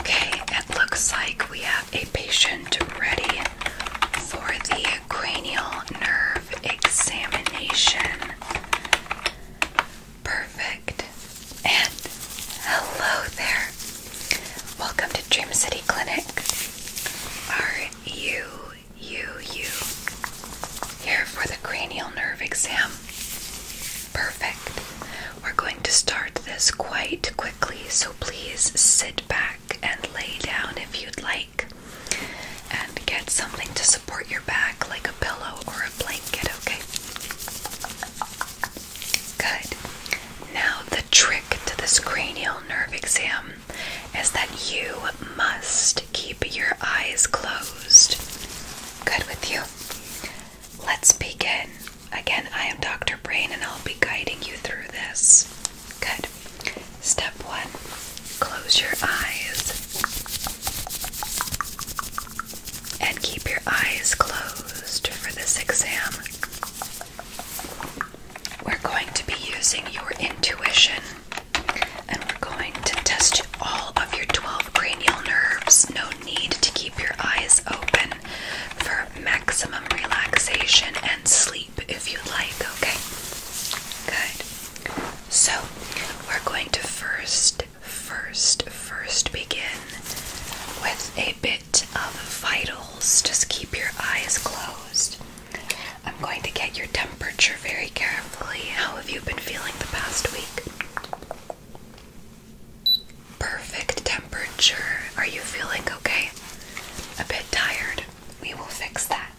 Okay, it looks like we have a patient ready for the cranial nerve examination. Perfect. And hello there. Welcome to Dream City Clinic. Are you, you, you here for the cranial nerve exam? Perfect. We're going to start this quite quickly, so please sit back and lay down if you'd like. And get something to support your back, like a pillow or a blanket, okay? Good. Now, the trick to this cranial nerve exam is that you must keep your eyes closed. Good with you? Let's begin. Again, I am Dr. Brain and I'll be guiding you through this. Good. Step one close your eyes and keep your eyes closed for this exam. We're going to be using your intuition and we're going to test all of your 12 cranial nerves. No need to keep your eyes open for maximum relaxation and sleep if you like, okay? Good. So, we're going to first, first, first begin with a bit of vitals. Just keep your eyes closed. I'm going to get your temperature very carefully. How have you been feeling the past week? Perfect temperature. Are you feeling okay? A bit tired. We will fix that.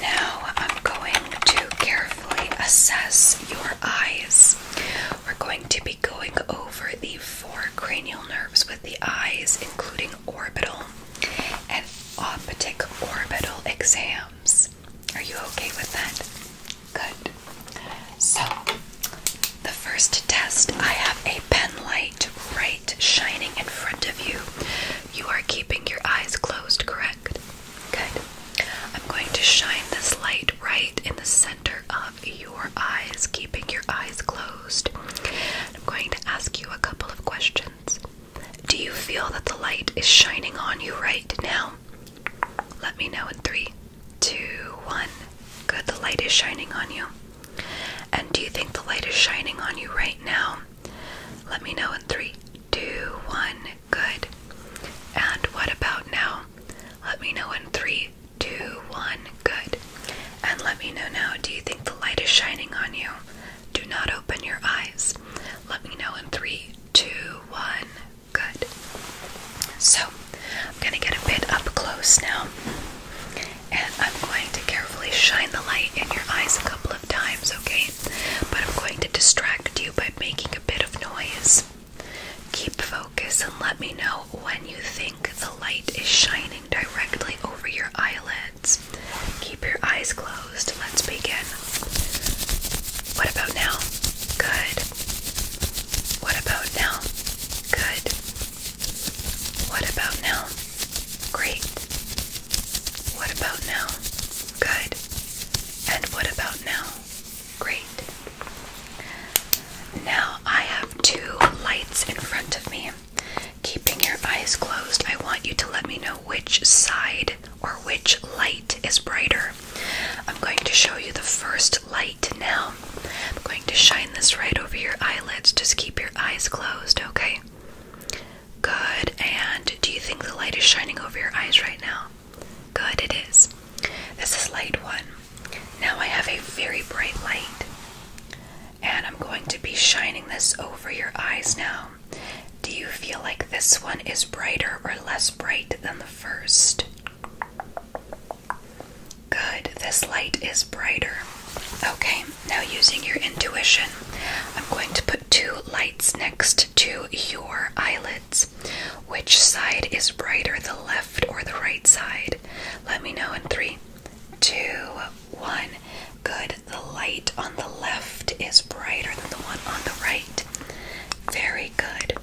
Now I'm going to carefully assess your eyes. We're going to be going over the four cranial nerves with the eyes, including orbital and optic orbital exams. Are you okay with that? Good. So, the first test I have a pen light right shining in front of you. You are keeping your eyes closed, correct? Good. I'm going to shine this light right in the center of your eyes, keeping your eyes closed. I'm going to ask you a couple of questions. Do you feel that the light is shining on you right now? Let me know in three, two, one. Good, the light is shining on you. And do you think the light is shining on you right now? Let me know in three, two, one. Good. And what about now? Let me know in three, two, one. Good. And let me know now. Do you think the light is shining on you? Do not open your eyes. Let me know in three, two, one. Good. So, I'm going to get a bit up close now, and I'm going to carefully shine the light in your eyes a couple of times, okay? But I'm going to distract you by making a bit of noise. Keep focus and let me know when you think the light is shining directly over your eyelids. Keep your eyes closed. Let's begin. What about now? Good. What about now? Good. What about now? Great. What about now? Good. And what about now? Great. Now I have two lights in front of me. Keeping your eyes closed, I want you to let me know which side or which light is brighter. I'm going to show you the first light now. I'm going to shine this right over your eyelids. Just keep your eyes closed, okay? Good. And do you think the light is shining over your eyes right now? Good, it is. This is light one. Now I have a very bright light. And I'm going to be shining this over your eyes now. Do you feel like this one is brighter or less bright than the first? Good, this light is brighter. Okay, now using your intuition, I'm going to put two lights next to your eyelids. Which side is brighter, the left or the right side? Let me know in three, two, one. Good, the light on the left is brighter than the one on the right. Very good.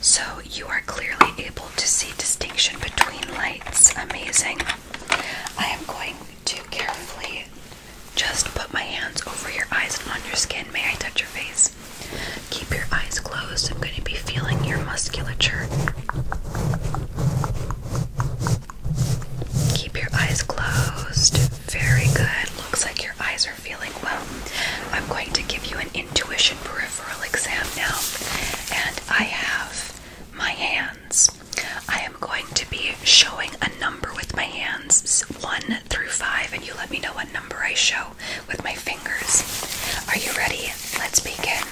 So you are clearly able to see distinction between lights. Amazing. I am going to carefully just put my hands over your eyes and on your skin. May I touch your face? Keep your eyes closed. I'm going to be feeling your musculature. Keep your eyes closed. Very good. Looks like your eyes are feeling well. I'm going to give you an intuition peripheral exam now, and I have my hands. I am going to be showing a number with my hands, one through five, and you let me know what number I show with my fingers. Are you ready? Let's begin.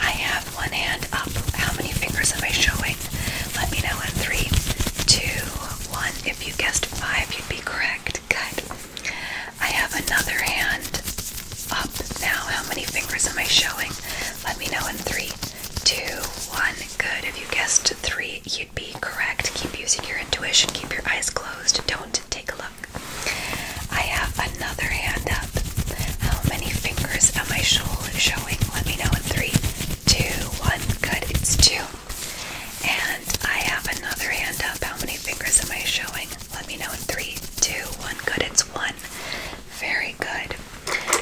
I have one hand up. How many fingers am I showing? Let me know in three, two, one. If you guessed five, you'd be correct. Good. I have another hand up now. How many fingers am I showing? Let me know in three, two, one. Good. If you guessed three, you'd be correct. Keep using your intuition. Keep your eyes closed. Don't take a look. I have another hand up. How many fingers am I showing? Let me know in three, two, one. Good. It's two. And I have another hand up. How many fingers am I showing? Let me know in three, two, one. Good, it's one. Very good.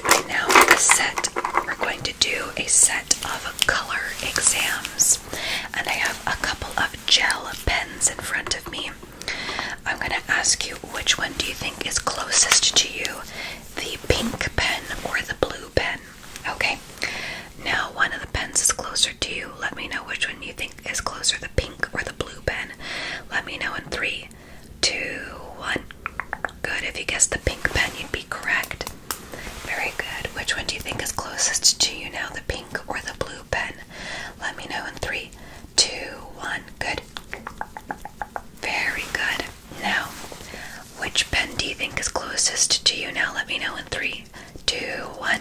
Right now, the set, we're going to do a set of color exams. And I have a couple of gel pens in front of me. I'm going to ask you which one do you think is closest to you, the pink pen or the blue pen? Okay, now, one of the pens is closer to you. Let me know which one you think is closer the pink or the blue pen. Let me know in three, two, one. Good. If you guessed the pink pen, you'd be correct. Very good. Which one do you think is closest to you now, the pink or the blue pen? Let me know in three, two, one. Good. Very good. Now, which pen do you think is closest to you now? Let me know in three, two, one.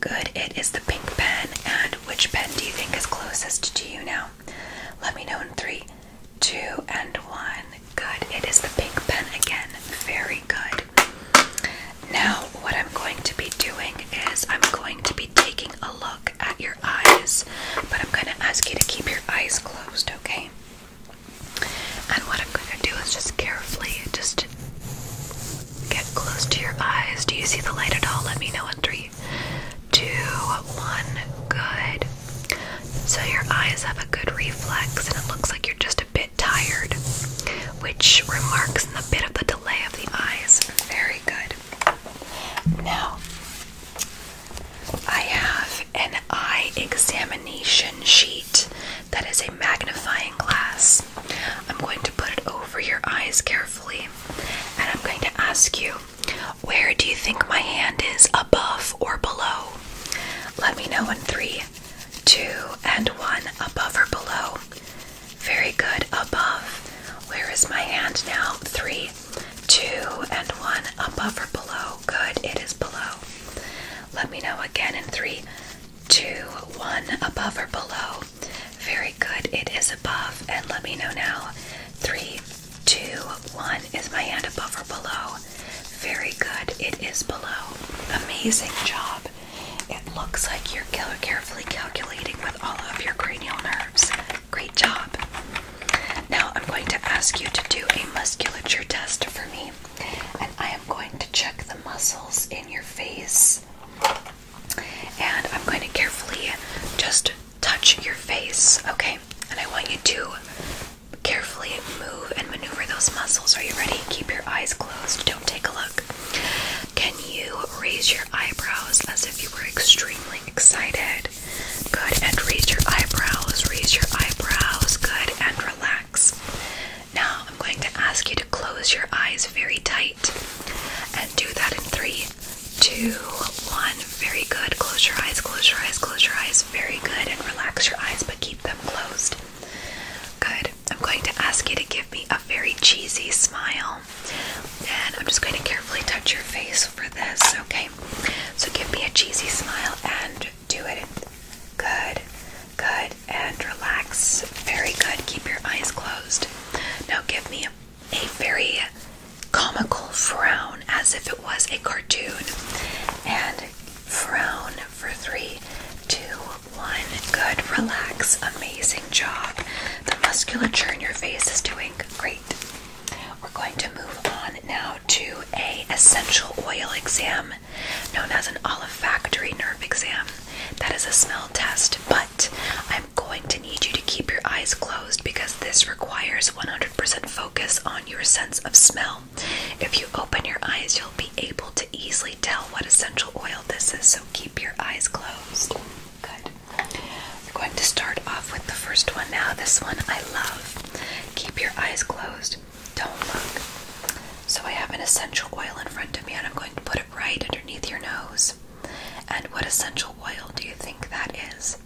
Good, it is the pink pen. And which pen do you think is closest to you now? Let me know in three, two, and one. Good, it is the pink pen again. Very good. Now, what I'm going to be doing is I'm going to be taking a look at your eyes, but I'm going to ask you to keep your eyes closed, okay? And what I'm going to do is just carefully, just Get close to your eyes. Do you see the light at all? Let me know in three, two, one. Good. So your eyes have a good reflex, and it looks like you're just a bit tired, which remarks in the bit of the delay of the eyes. Very good. Now, I have an eye examination sheet that is a magnifying glass. I'm going to put it over your eyes carefully, and I'm going to ask you, where do you think my hand is, above or below? Let me know in three, two, and one, above or below. Very good, above. Where is my hand now? Three, two, and one, above or below. Good, it is below. Let me know again in three, two, one above or below. Very good. It is above. And let me know now. Three, two, one. Is my hand above or below? Very good. It is below. Amazing job. It looks like you're carefully calculating with all of your cranial nerves. Great job. Now I'm going to ask you to do a musculature test for me. And I am going to check the muscles in your face and I'm going to carefully just touch your face, okay? And I want you to carefully move and maneuver those muscles. Are you ready? Keep your eyes closed. Don't take a look. Can you raise your eyebrows as if you were extremely excited? Good. And raise your eyebrows. Raise your eyebrows. Good. And relax. Now I'm going to ask you to close your eyes very tight and do that in three, two, one. Very good. Close your eyes, close your eyes, close your eyes. Very good. And relax your eyes, but keep them closed. Good. I'm going to ask you to give me a very cheesy smile. And I'm just going to carefully touch your face for this, okay? So give me a cheesy smile and do it. Good. Good, and relax. Very good. Keep your eyes closed. Now give me a, very comical frown as if it was a cartoon. And frown for three, two, one. Good, relax. Amazing job. The musculature in your face is doing great. We're going to move on now to a essential oil exam known as an olfactory nerve exam. That is a smell test, but I'm going to need you to keep your eyes closed because this requires 100% focus on your sense of smell. If you open your eyes, you'll be able to easily tell what essential oil this is, so keep your eyes closed. Good. We're going to start off with the first one now. This one I love. Keep your eyes closed. Don't look. So I have an essential oil in front of me and I'm going to put right underneath your nose. And what essential oil do you think that is?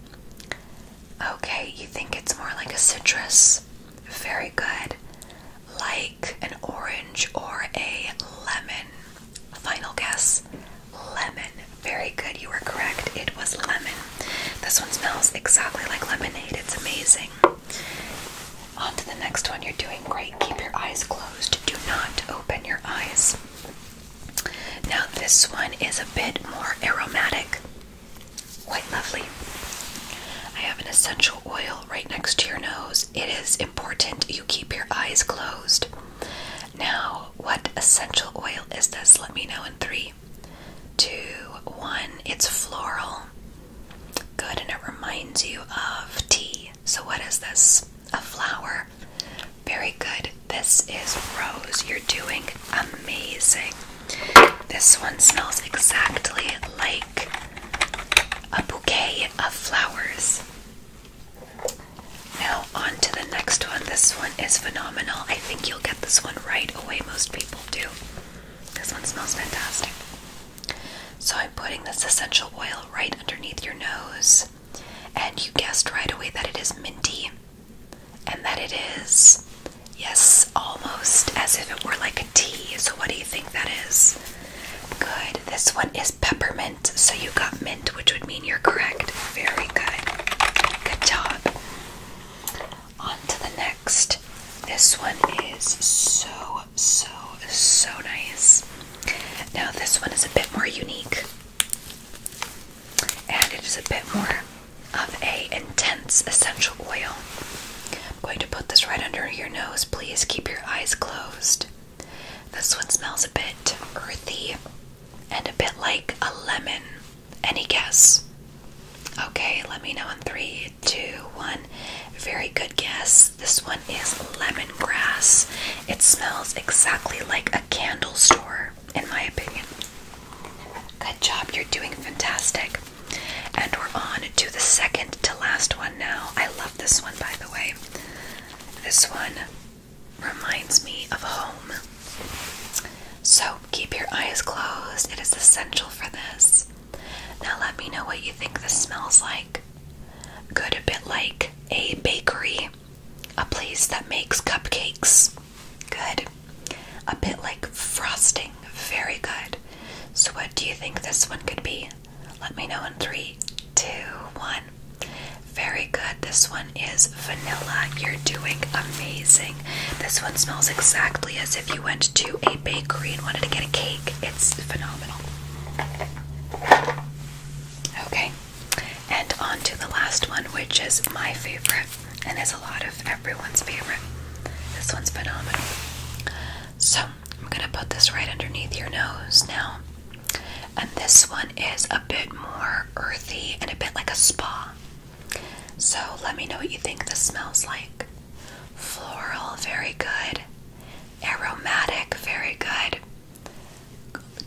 Okay, you think it's more like a citrus? Very good. Like an orange or a lemon. Final guess lemon. Very good, you were correct. It was lemon. This one smells exactly like lemonade. It's amazing. On to the next one. You're doing great. Keep your eyes closed. Do not open your eyes. Now, this one is a bit more aromatic. Quite lovely. I have an essential oil right next to your nose. It is important you keep your eyes closed. Now, what essential oil is this? Let me know in three, two, one. It's floral. Good, and it reminds you of tea. So, what is this? A flower. Very good. This is rose. You're doing amazing. This one smells exactly like a bouquet of flowers. Now, on to the next one. This one is phenomenal. I think you'll get this one right away. Most people do. This one smells fantastic. So I'm putting this essential oil right underneath your nose, and you guessed right away that it is minty, and that it is, yes, almost as if it were like a tea. So, what do you think that is? Good. This one is peppermint, so you got mint, which would mean you're correct. Very good. Good job. On to the next. This one is so so, so nice. Now, this one is a bit more unique. And it is a bit more of a intense essential oil. I'm going to put this right under your nose. Please keep your eyes closed. This one smells a bit earthy and a bit like a lemon. Any guess? Okay, let me know in three, two, one. Very good guess this. one is lemongrass. It smells exactly like a candle store, in my opinion. Good job, you're doing fantastic. And we're on to the second to last one now. I love this one, by the way. This one reminds me of home. So keep your eyes closed, it is essential for this. Now, let me know what you think this smells like good a bit like a bakery, a place that makes cupcakes. Good. A bit like frosting. Very good. So what do you think this one could be? Let me know in three, two, one. Very good. This one is vanilla. You're doing amazing. This one smells exactly as if you went to a bakery and wanted to get a cake. It's phenomenal. Okay, and on to the last one, which is my favorite and is a lot of everyone's favorite. This one's phenomenal. So, I'm gonna put this right underneath your nose now. And this one is a bit more earthy and a bit like a spa. So, let me know what you think this smells like. Floral, very good aromatic, very good.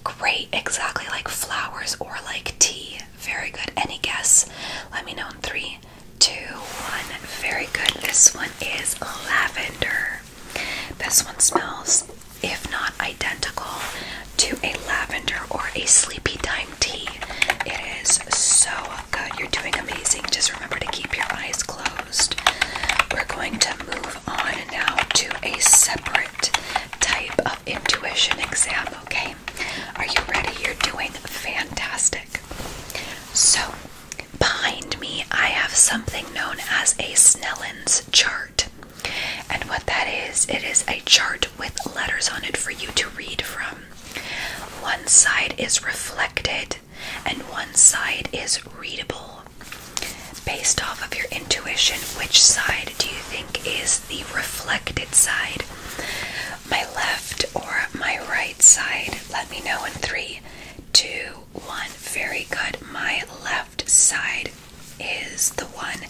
Great, exactly like flowers or like tea. Very good. Any guess? Let me know in three, two, one. Very good. This one is lavender. This one smells, if not identical, to a lavender or a sleepy time tea. It is so good. You're doing amazing. Just remember to keep your eyes closed. We're going to to move on now to a separate type of intuition exam, okay? Are you ready? You're doing fantastic. So, behind me, I have something known as a Snellen's chart. And what that is, it is a chart with letters on it for you to read from. One side is reflected, and one side is readable. Based off of your intuition, which side do you think is the reflected side? My left or my right side? Let me know in three, two, one. Very good. My left side is the one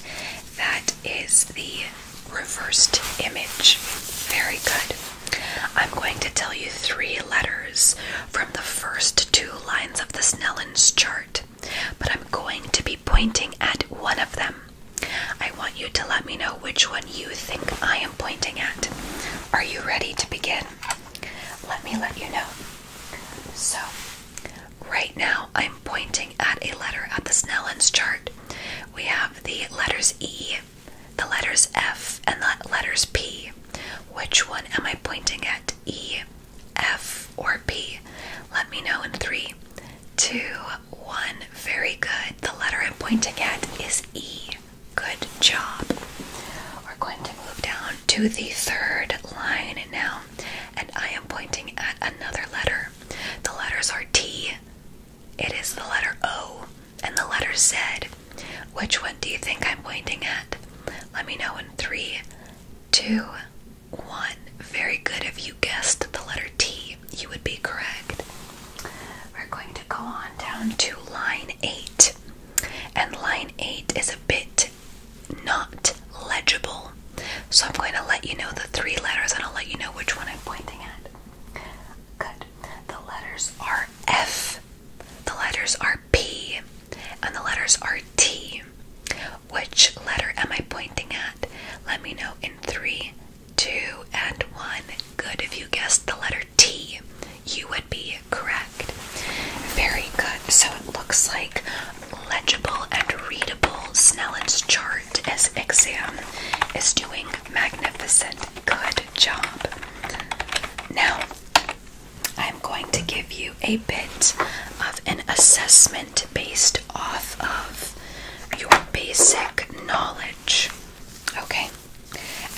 that is the reversed image. Very good. I'm going to tell you three letters from the first two lines of the Snellen's chart, but I'm going to be pointing at one of them. I want you to let me know which one you think I am pointing at. Are you ready to begin? Let me let you know. So, right now I'm pointing at a letter at the Snellen's chart. We have the letters E, the letters F, and the letters P. Which one am I pointing at? E, F, or P? Let me know in three, two, one. Very good. The letter I'm pointing at is E. Good job. We're going to move down to the third line and now, and I am pointing at another letter. The letters are T, it is the letter O, and the letter Z. Which one do you think I'm pointing at? Let me know in three, two, one. Very good. If you guessed the letter T, you would be correct. We're going to go on down to line eight. And line eight is a bit not legible. So I'm going to let you know the three letters and I'll let you know which one I'm pointing at. Good. The letters are F. The letters are P and the letters are T. Which letter am I pointing at? Let me know in three, two, and one. Good. If you guessed the letter T, you would be correct. Very good. So it looks like legible and readable Snellen's chart as exam is doing magnificent. Good job. Now, I'm going to give you a bit of an assessment based off of your basic knowledge. Okay?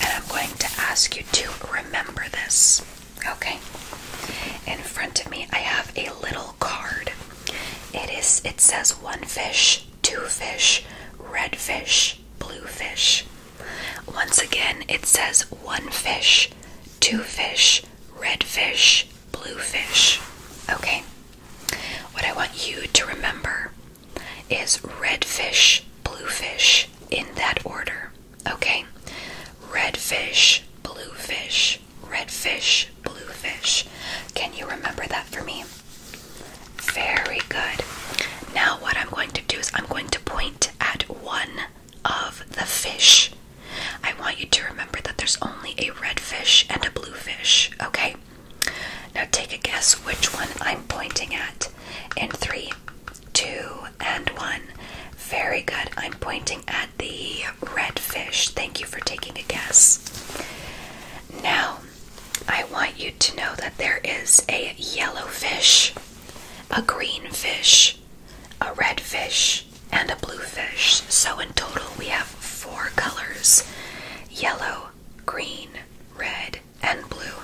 And I'm going to ask you to remember this. Okay? In front of me, I have a little card. It is it says one fish, two fish, red fish, blue fish. Once again, it says one fish, two fish, red fish, blue fish. Okay? What I want you to remember is red fish, blue fish in that order. Okay? Red fish, blue fish, red fish, blue fish. Can you remember that for me? Very good. Now, what I'm going to do is I'm going to point at one of the fish. I want you to remember that there's only a red fish and a blue fish, okay? Now take a guess which one I'm pointing at in three, two, and one. Very good. I'm pointing at the red fish. Thank you for taking a guess. Now, I want you to know that there is a yellow fish, a green fish, a red fish, and a blue fish. So in total, we have four colors yellow, green, red, and blue.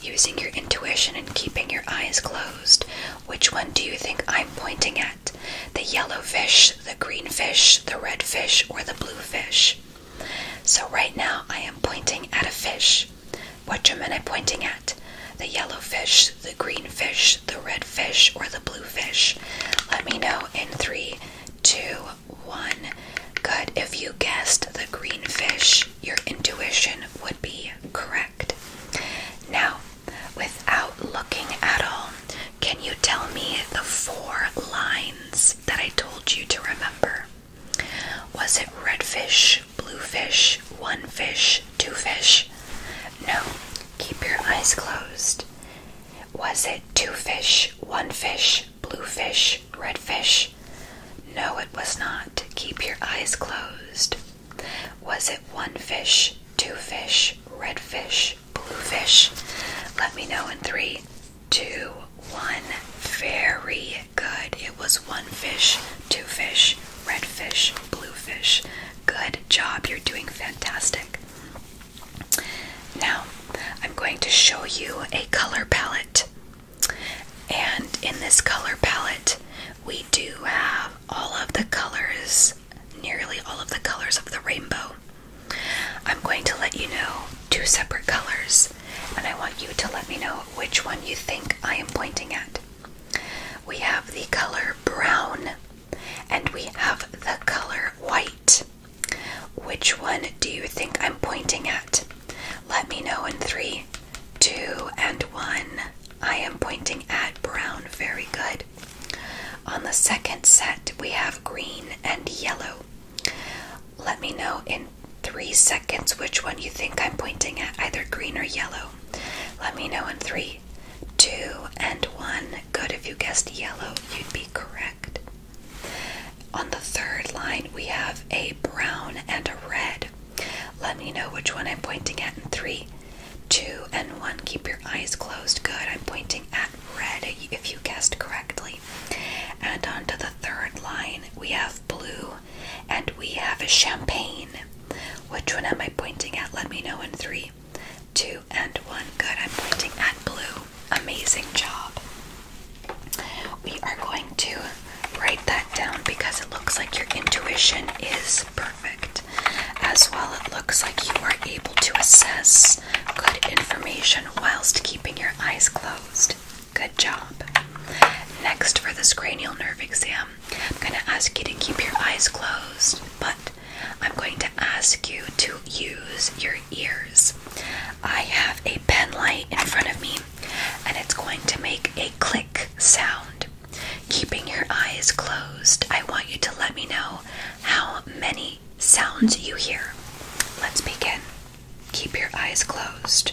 Using your intuition and keeping your eyes closed, which one do you think I'm pointing at? The yellow fish, the green fish, the red fish, or the blue fish? So, right now, I am pointing at a fish. What am I pointing at? The yellow fish, the green fish, the red fish, or the blue fish? Let me know in three, two, one. Good. If you guessed the green fish, your intuition would be correct. Now, without looking at all, can you tell me the four lines that I told you to remember? Was it redfish, blue fish, one fish, two fish. No, keep your eyes closed. Was it two fish, one fish, blue fish, red fish? No, it was not. Keep your eyes closed. Was it one fish, two fish, red fish, blue fish? Let me know in three, two, one. Very Good. It was one fish, two fish, red fish, blue fish. Good job. You're doing fantastic. Now, I'm going to show you a color palette. And in this color palette, we do have all of the colors, nearly all of the colors of the rainbow. I'm going to let you know two separate colors, and I want you to let me know which one you think I am pointing at. We have the color brown and we have the color white. Which one do you think I'm pointing at? Let me know in three, two, and one. I am pointing at brown. Very good. On the second set, we have green and yellow. Let me know in three seconds which one you think I'm pointing at, either green or yellow. Let me know in three, two, and one. Good. If you guessed yellow, you'd be correct. On the third line, we have a brown and a red. Let me know which one I'm pointing at in three, two, and one. Keep your eyes closed. Good. I'm pointing at red if you guessed correctly. And on to the third line, we have blue and we have a champagne. Which one am I pointing at? Let me know in three, two, and one. Good. I'm pointing at blue. Amazing job. We are going to write that down because it looks like your intuition is perfect. As well, it looks like you are able to assess good information whilst keeping your eyes closed. Good job. Next, for this cranial nerve exam, I'm going to ask you to keep your eyes closed, but I'm going to ask you to use your ears. I have a pen light in front of me, and it's going to make a click sound. Keeping your eyes closed, I want you to let me know how many sounds you hear. Let's begin. Keep your eyes closed.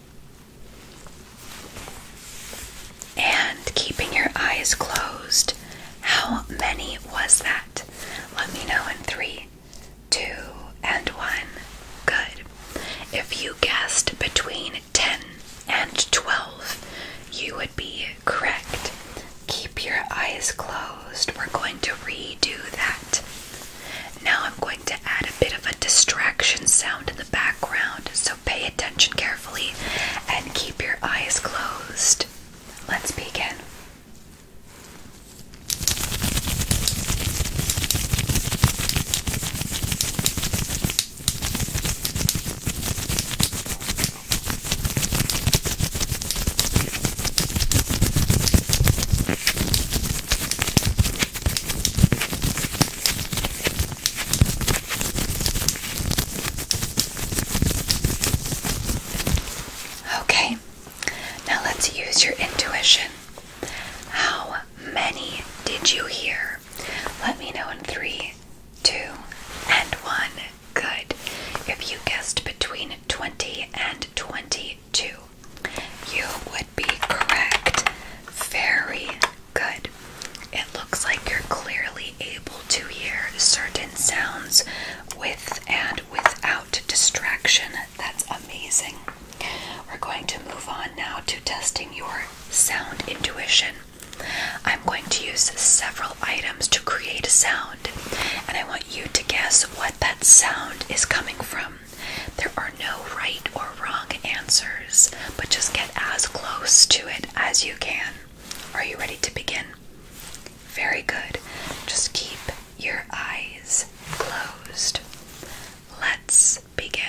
And keeping your eyes closed. How many was that? Let me know in three, two, and one. Good. If you guessed between 10 and 12, you would be correct. Keep your eyes closed. We're going to redo that. Now I'm going to add a bit of a distraction sound in the background, so pay attention carefully and keep your eyes closed. Let's begin. Okay, now let's use your intuition. How many did you hear? Let me know in three, two, and one. Good. If you guessed between 20 and 22, you would be correct. Very Good. It looks like you're clearly able to hear certain sounds with and without distraction. That's amazing. We're going to move on now to testing your sound intuition. I'm going to use several items to create a sound, and I want you to guess what that sound is coming from. There are no right or wrong answers, but just get as close to it as you can. Are you ready to begin? Very good. Just keep your eyes closed. Let's begin.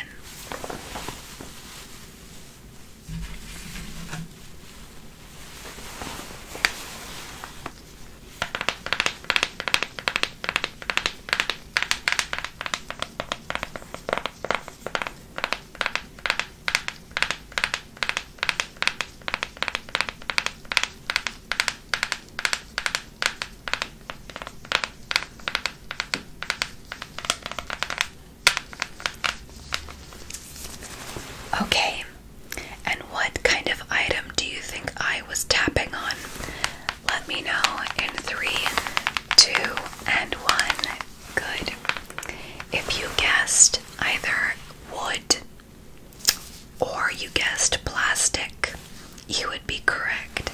Okay, and what kind of item do you think I was tapping on? Let me know in three, two, and one. Good. If you guessed either wood or you guessed plastic, you would be correct.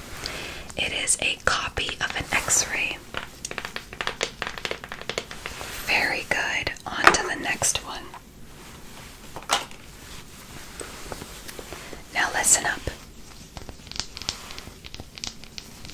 It is a copy of an x ray. Very good. On to the next one. Now, listen up.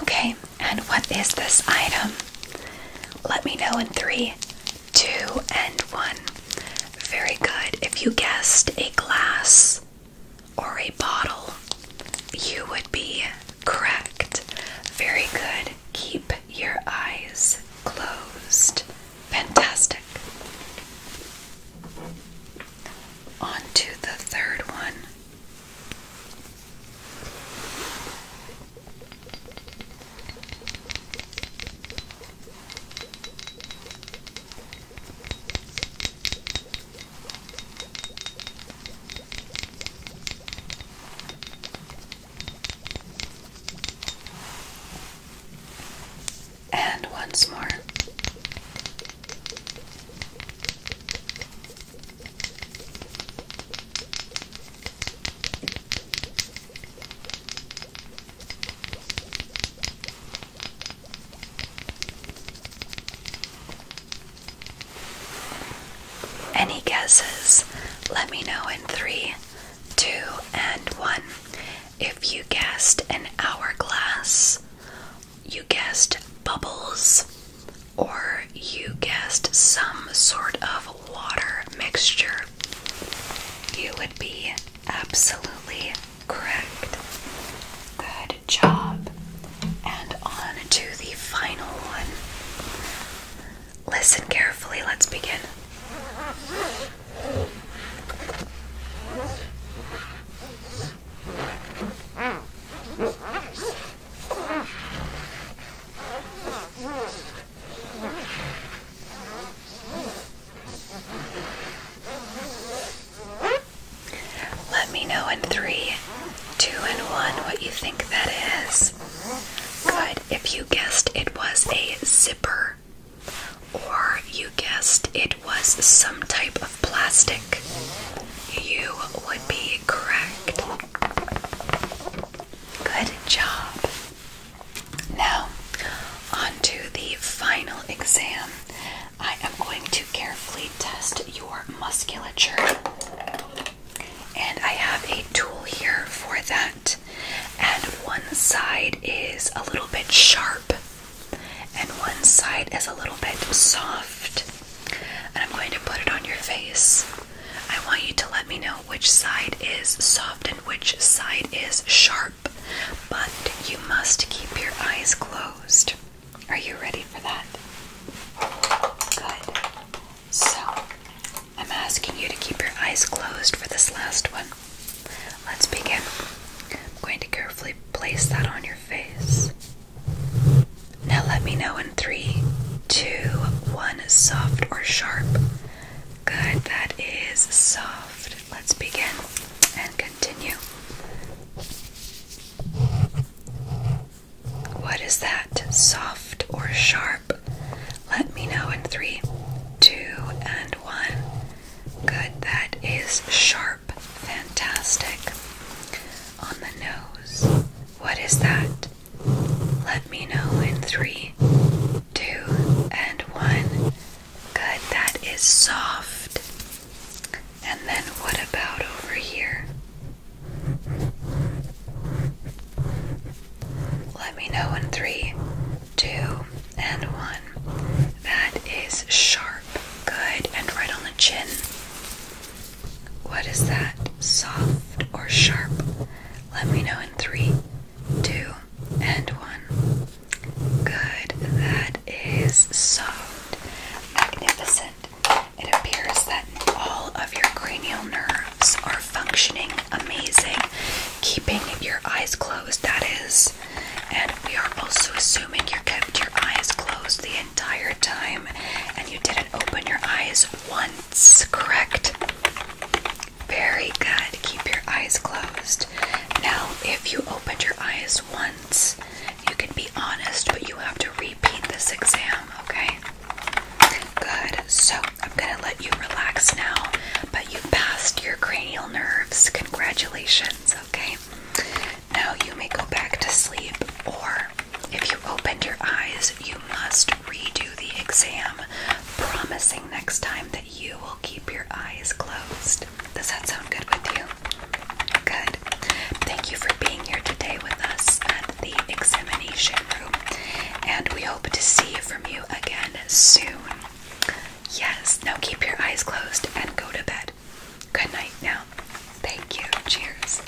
Okay, and what is this item? Let me know in three, two, and one. Very good. If you guessed a glass or a bottle, you would be correct. Very good. Keep your eyes closed. Fantastic. On to the third one. And once more. Any guesses? Let me know in three, two, and one. If you guessed an hourglass, you guessed bubbles or you guessed some sort of water mixture, you would be absolutely correct. Good job. And on to the final one. Listen carefully, let's begin. Let me know in three, two, and one what you think that is. Good. If you guessed it was a zipper, or you guessed it was some type of plastic, you would be correct. Good job. Now, onto the final exam. I am going to carefully test your musculature. And I have a tool here for that. And one side is a little bit sharp, and one side is a little bit soft and I'm going to put it on your face. I want you to let me know which side is soft and which side is sharp, but you must keep your eyes closed. Are you ready for that? Good. So, I'm asking you to keep your eyes closed for this last one. Let's begin. I'm going to carefully place that on your face. Now let me know in three, two, one. Soft or sharp? Good, that is soft. Let's begin and continue. What is that? Soft or sharp? Let me know in three, two, and one. Good, that is sharp. Fantastic. On the nose. What is that? Let me know in three, two, and one. Good, that is soft. And then what about over here? Let me know in three, two, and one. That is sharp. Good, and right on the chin. What is that? Soft or sharp? Let me know in three, two, and one. Good. That is soft. Magnificent. It appears that all of your cranial nerves are functioning amazing, keeping your eyes closed, that is. And we are also assuming your kept your eyes closed the entire time and you didn't open your eyes one correct? Very good. Keep your eyes closed. Now, if you opened your eyes once, you can be honest, but you have to repeat this exam, okay? Good. So, I'm going to let you relax now, but you passed your cranial nerves. Congratulations, okay? Now, you may go back to sleep. Or if you opened your eyes, you must redo the exam, promising next time that you will keep your eyes closed. Does that sound good with you? Good. Thank you for being here today with us at the examination room, and we hope to see from you again soon. Yes, now keep your eyes closed and go to bed. Good night now. Thank you. Cheers.